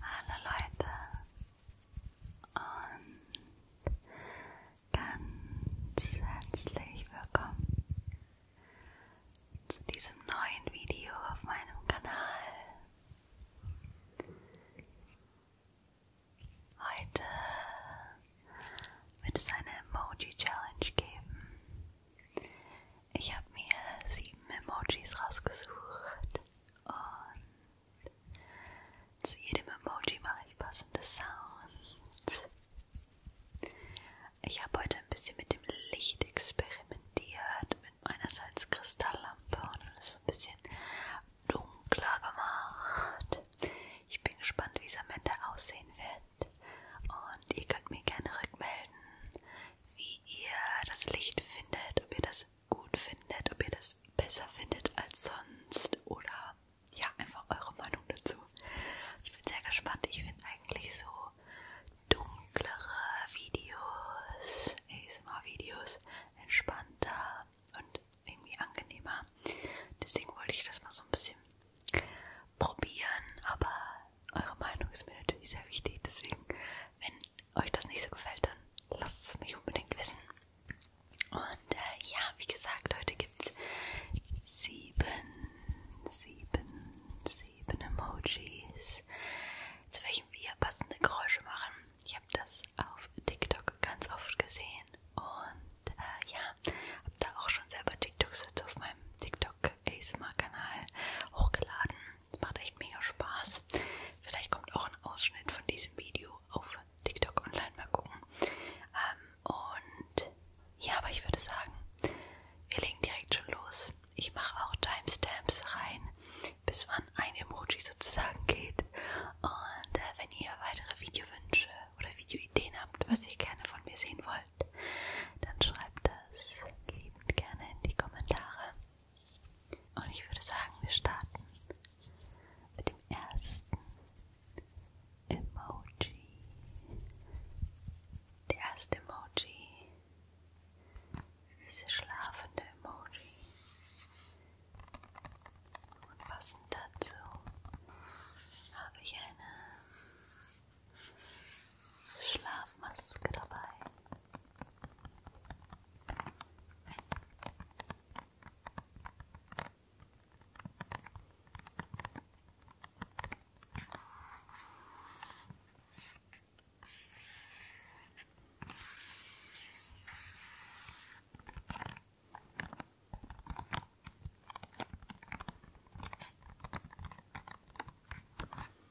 Hallo Leute und ganz herzlich willkommen zu diesem neuen Video auf meinem Kanal. Heute wird es eine Emoji Challenge geben. Ich habe mir sieben Emojis rausgesucht und zu jedem Emoji mache ich passende Sounds. Ich habe heute ein bisschen mit dem Licht experimentiert, mit meinerseits Kristalllampe und es ein bisschen dunkler gemacht. Ich bin gespannt, wie es am Ende aussehen wird. Und ihr könnt mir gerne rückmelden, wie wie ihr das Licht findet, ob ihr das gut findet, ob ihr das besser findet als sonst oder ja, einfach eure Meinung dazu. Ich bin sehr gespannt. Ich finde eigentlich so dunklere Videos, ASMR-Videos entspannter und irgendwie angenehmer. Deswegen wollte ich das mal so ein bisschen probieren, aber eure Meinung ist mir natürlich sehr wichtig. Deswegen, wenn euch das nicht so gefällt, dann lasst es mich unbedingt wissen. Und äh, ja, wie gesagt, heute gibt es sieben, sieben, sieben Emojis, zu welchen wir passende Geräusche machen. Ich habe das auf TikTok ganz oft gesehen und äh, ja, habe da auch schon selber TikToks dazu auf meinem TikTok ASMR-Kanal hochgeladen. Es macht echt mega Spaß. Vielleicht kommt auch ein Ausschnitt von diesem Video auf TikTok online. Mal gucken. Ähm, und ja, aber ich würde sagen, wir legen direkt schon los. Ich mache auch Timestamps rein, bis wann ein Emoji sozusagen geht. Und äh, wenn ihr weitere Videowünsche oder Videoideen habt, was ihr gerne von mir sehen wollt, dann schreibt das liebend gerne in die Kommentare. Und ich würde sagen, wir starten mit dem ersten Emoji. Der erste Emoji ist der schlafende Emoji. Und passend dazu habe ich eine Schlafmaske dabei.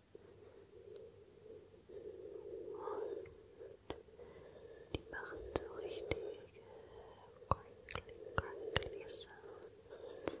Und die machen so richtige crinkly, crinkly Sounds.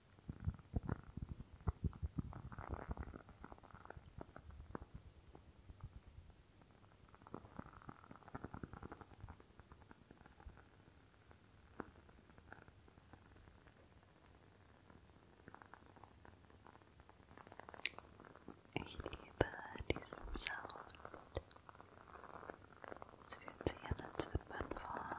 Ich liebe diesen Sound. Es fühlt sich an, als würde man vor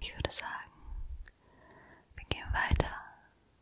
Ich würde sagen, wir gehen weiter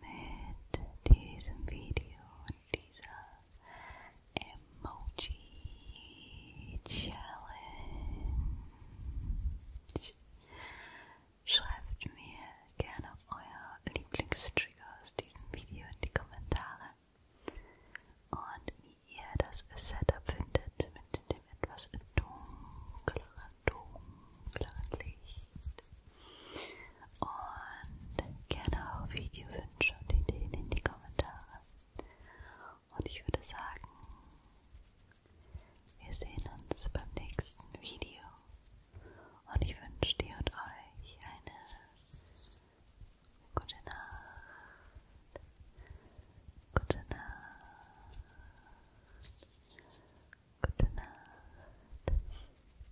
mit diesem Video und dieser Emoji Challenge. Schreibt mir gerne euer Lieblingstrigger aus diesem Video in die Kommentare und wie ihr das Setup findet mit dem etwas dunkleren, dunkleren Licht geschieht. Und gerne auch Videowünsche und Ideen in die Kommentare. Und ich würde sagen, wir sehen uns beim nächsten Video. Und ich wünsche dir und euch eine gute Nacht. Gute Nacht. Gute Nacht.